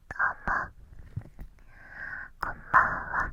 んこんばんは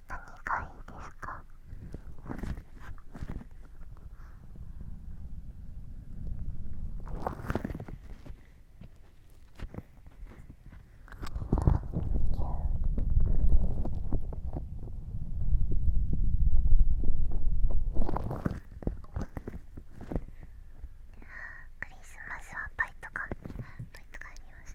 何がいいですかクリスマスはパイとかパイとかあります。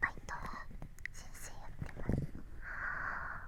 バイトは先生やってます。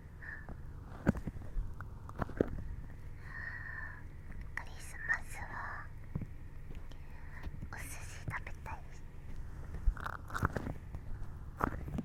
クリスマスはお寿司食べたいお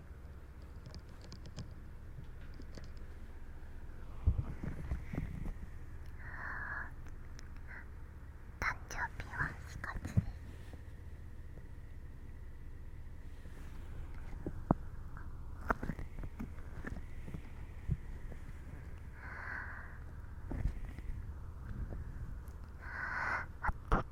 誕生日は4月です私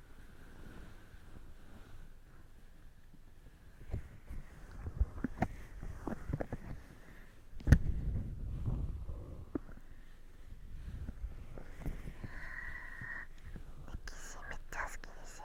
史めっちゃ好きですよ。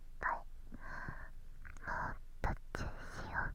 はいもう途中しよう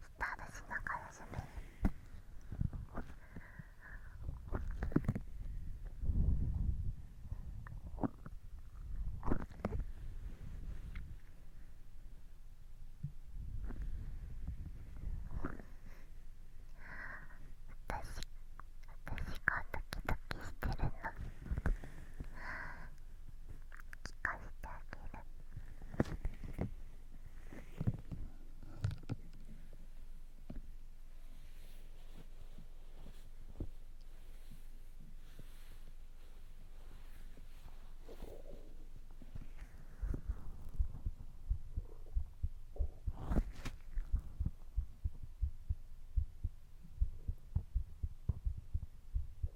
スターしながらしめ私私がドキドキしてるの。聞かせてあげる「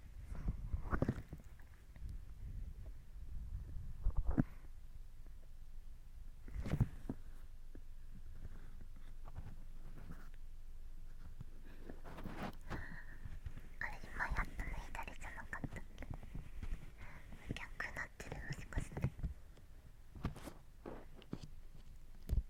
あれ今やったの左じゃなかったっけなってるもしかして。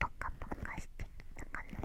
ポカポカしてきたかな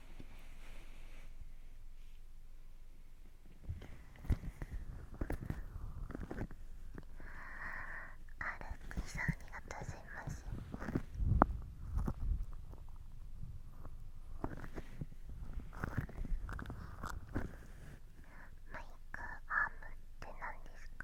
歩きさんありがとうございますマイクアームって何ですか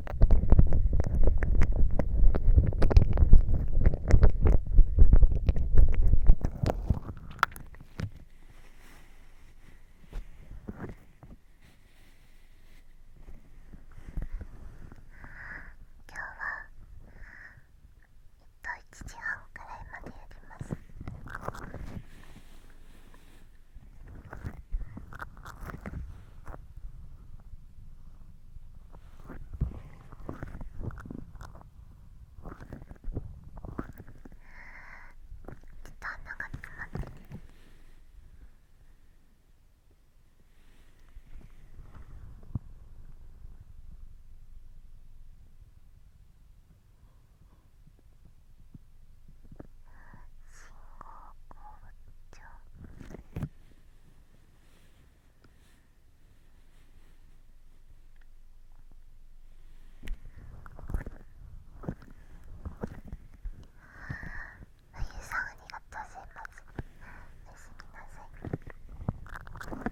今日はえ1時半くらいまでやります。と穴が詰まってる。信号をちゃあゆさんありがとうございます。おやすみなさい。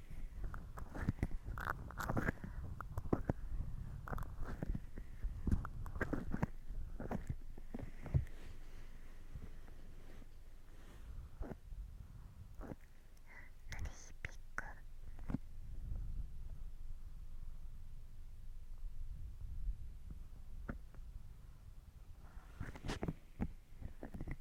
ク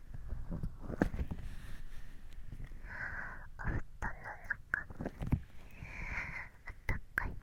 お布団の中あったかい「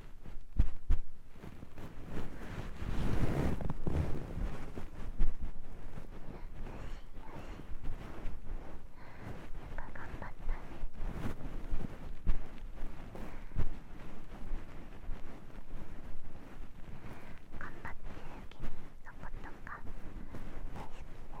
よよしし。頑張ったね。頑張ってる君のことか大好きだよ。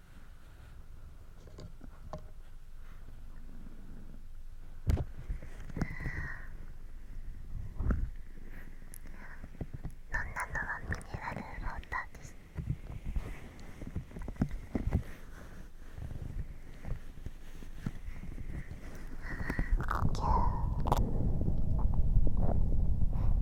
どん。なのはミネラルウォーターです。ああ、キュー。…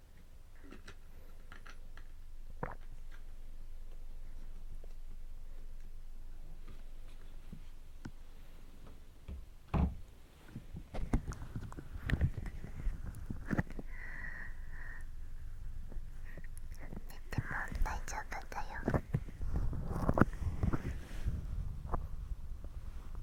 寝ても大丈夫だよ。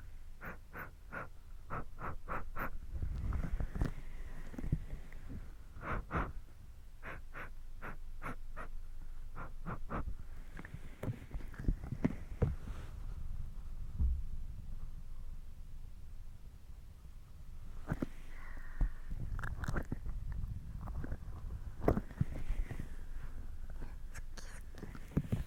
好き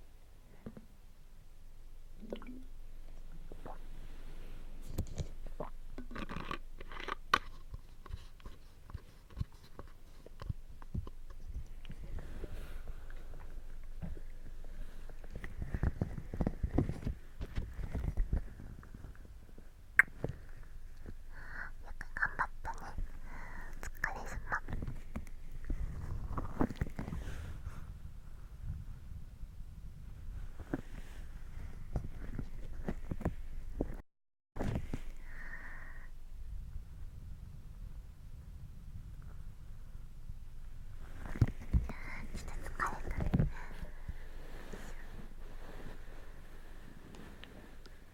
よく頑張ったねお疲れ様疲れた。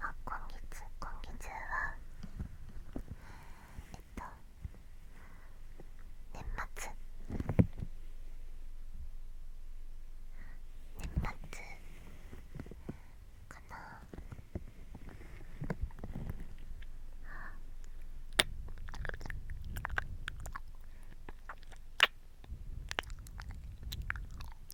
あ今月今月はえっと年末年末かな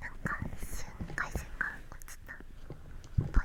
なんか一瞬回線が落ちたぽい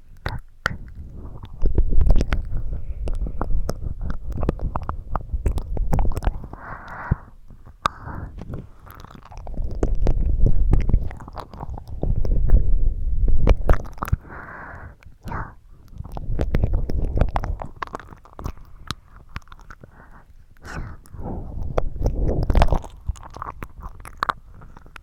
やっ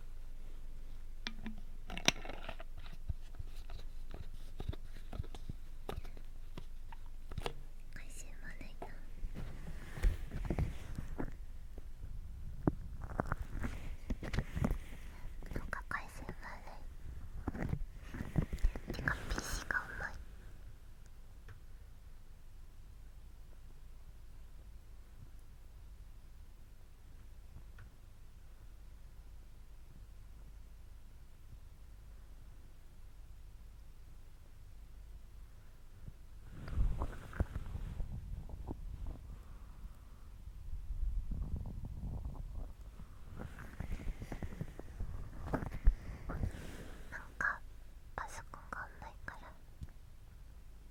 回収まないな。なんか回収まない。てか PC が重い。なんかパソコンがんないから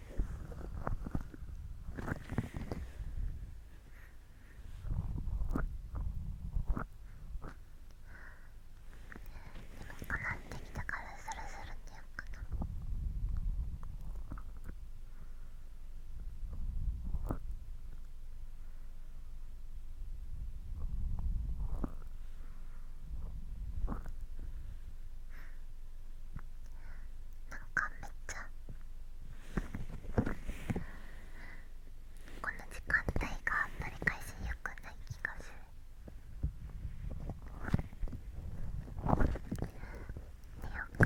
くなってきたからスルスルっていうかな。なかめっちゃこの時間帯が取り返しよくない気がする寝ようか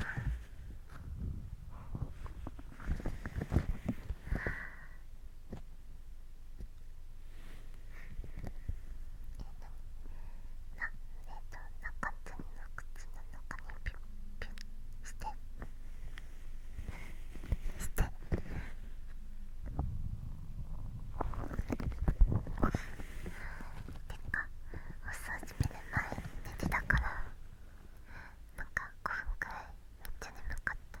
えっとなえっと中口の口の中にしてしててかお掃除目の前寝てたからなんか5分くらいめっちゃ眠かった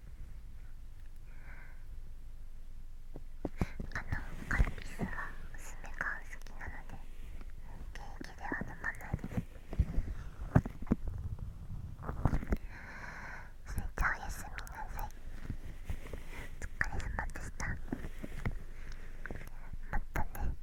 あのカルピスは娘が好きなのでケーキでは飲まないですそれじゃおやすみなさいお疲れ様でしたまたね